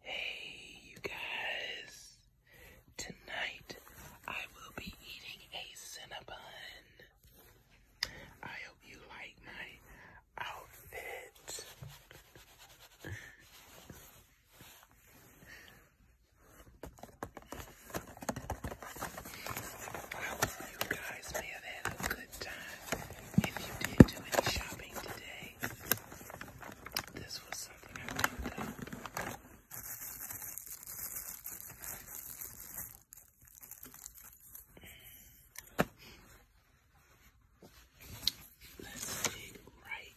Hey, you guys. Tonight I will be eating a Cinnabon. I hope you like my outfit. I hope you guys may have had a good time. If you did do any shopping today, day. This was something I picked up. Let's dig right in.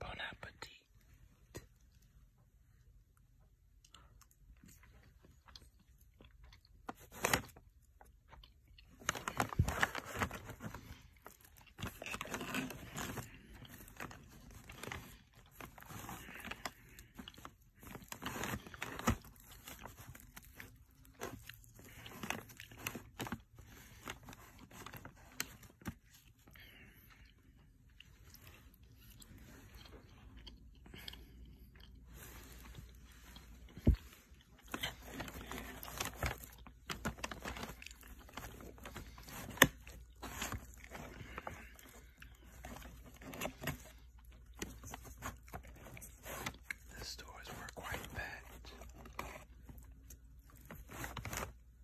Bon appetit. The stores were quite packed.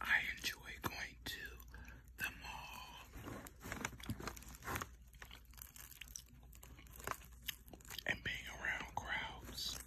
I enjoy going to the mall and being around crowds.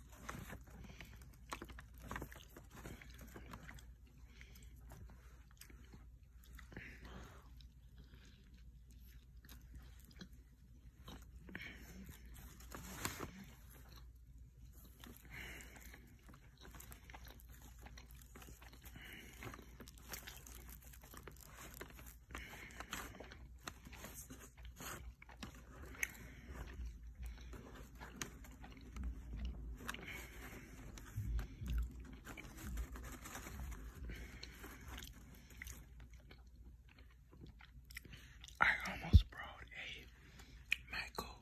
I almost brought a Michael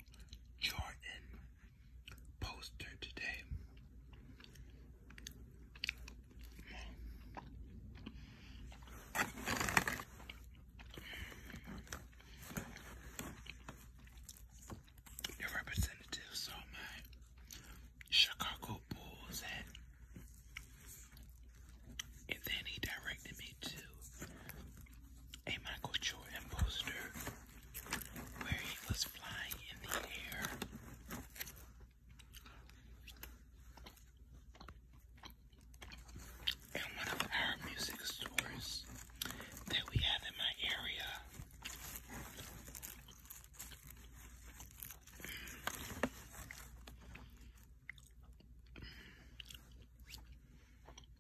Jordan poster today. The representatives are my Chicago Bulls and and then he directed me to a Michael Jordan poster where he was flying in the air. And one of our music stores that we have in my area.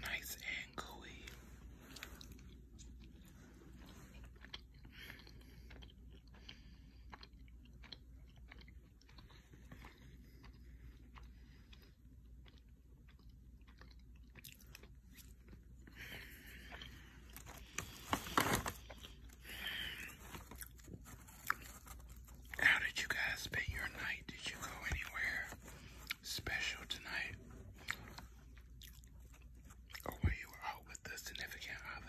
Nice and gooey. How did you guys spend your night? Did you go anywhere special tonight? Or were you out with the significant other?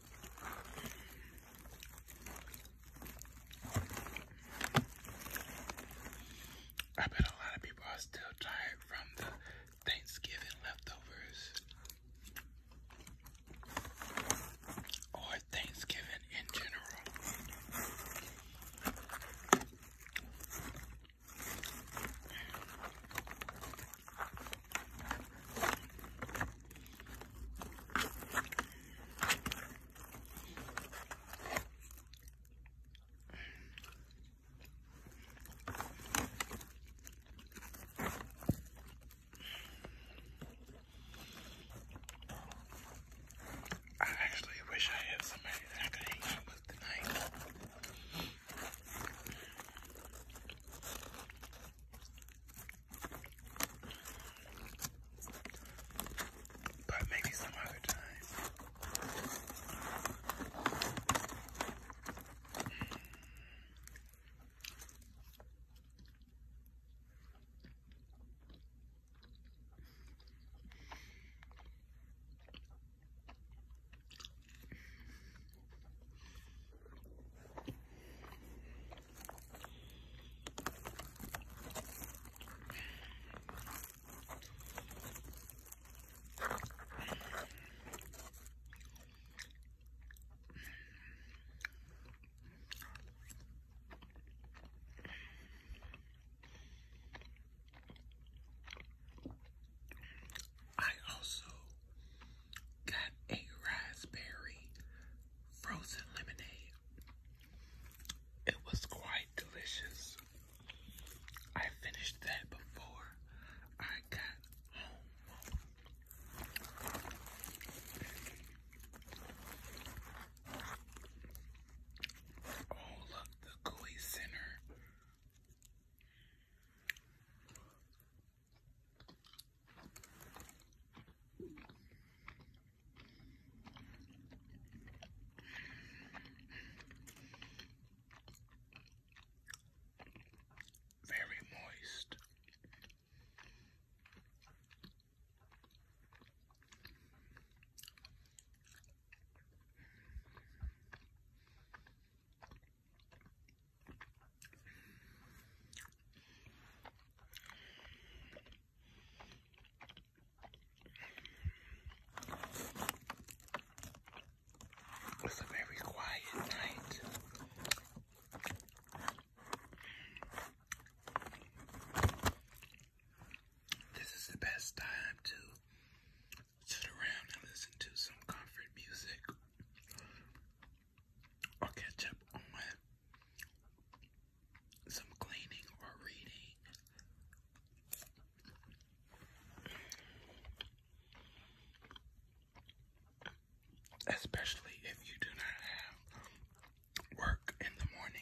I bet a lot of people are still tired from the Thanksgiving leftovers or Thanksgiving in general. I actually wish I had somebody that could hang out with tonight. But maybe some other time. I also got a raspberry frozen lemonade. It was quite delicious. I finished that before I got home. All of the gooey center. Very moist. It's a very quiet night. This is the best time to sit around and listen to some comfort music or catch up on some cleaning or reading. Especially if you do not have work in the morning.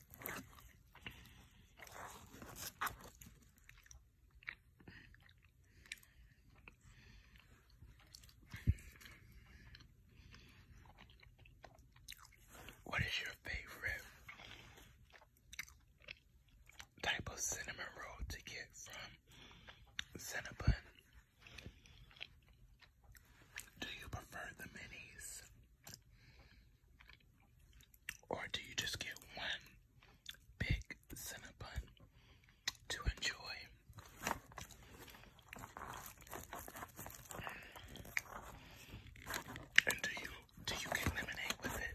What is your favorite type of cinnamon roll to get from Cinnabon? Do you prefer the minis? Or do you just get one big Cinnabon to enjoy? And do you do you get lemonade with it?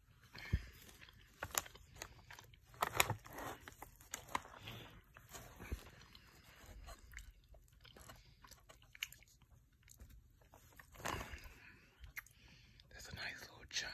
That's a nice little chunk.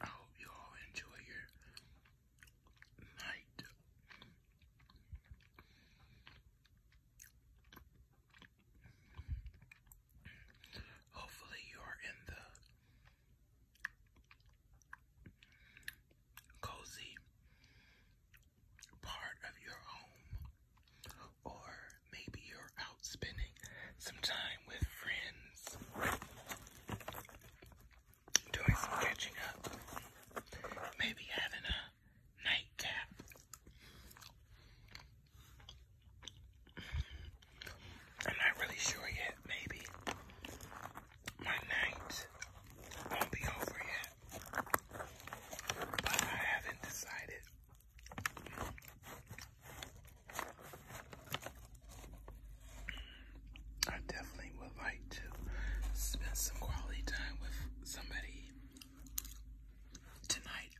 I hope you all enjoy your night. Hopefully, you are in the cozy part of your home, or maybe you're out spending some time with friends, doing some catching up, maybe having a nightcap. I'm not really sure yet, maybe my night won't be over yet, but I haven't decided. I definitely would like to spend some quality time with somebody tonight.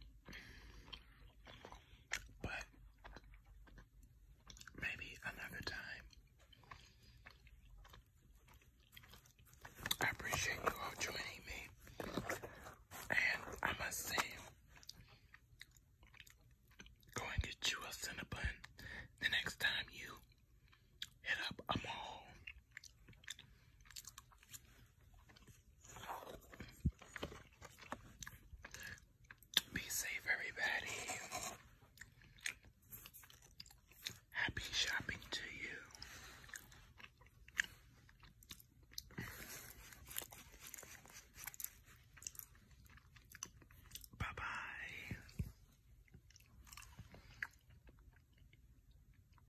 But maybe another time. I appreciate you all joining me. And I must say, go and get you a Cinnabon the next time you hit up a mall. Be safe, everybody. Happy shopping to you. Bye bye.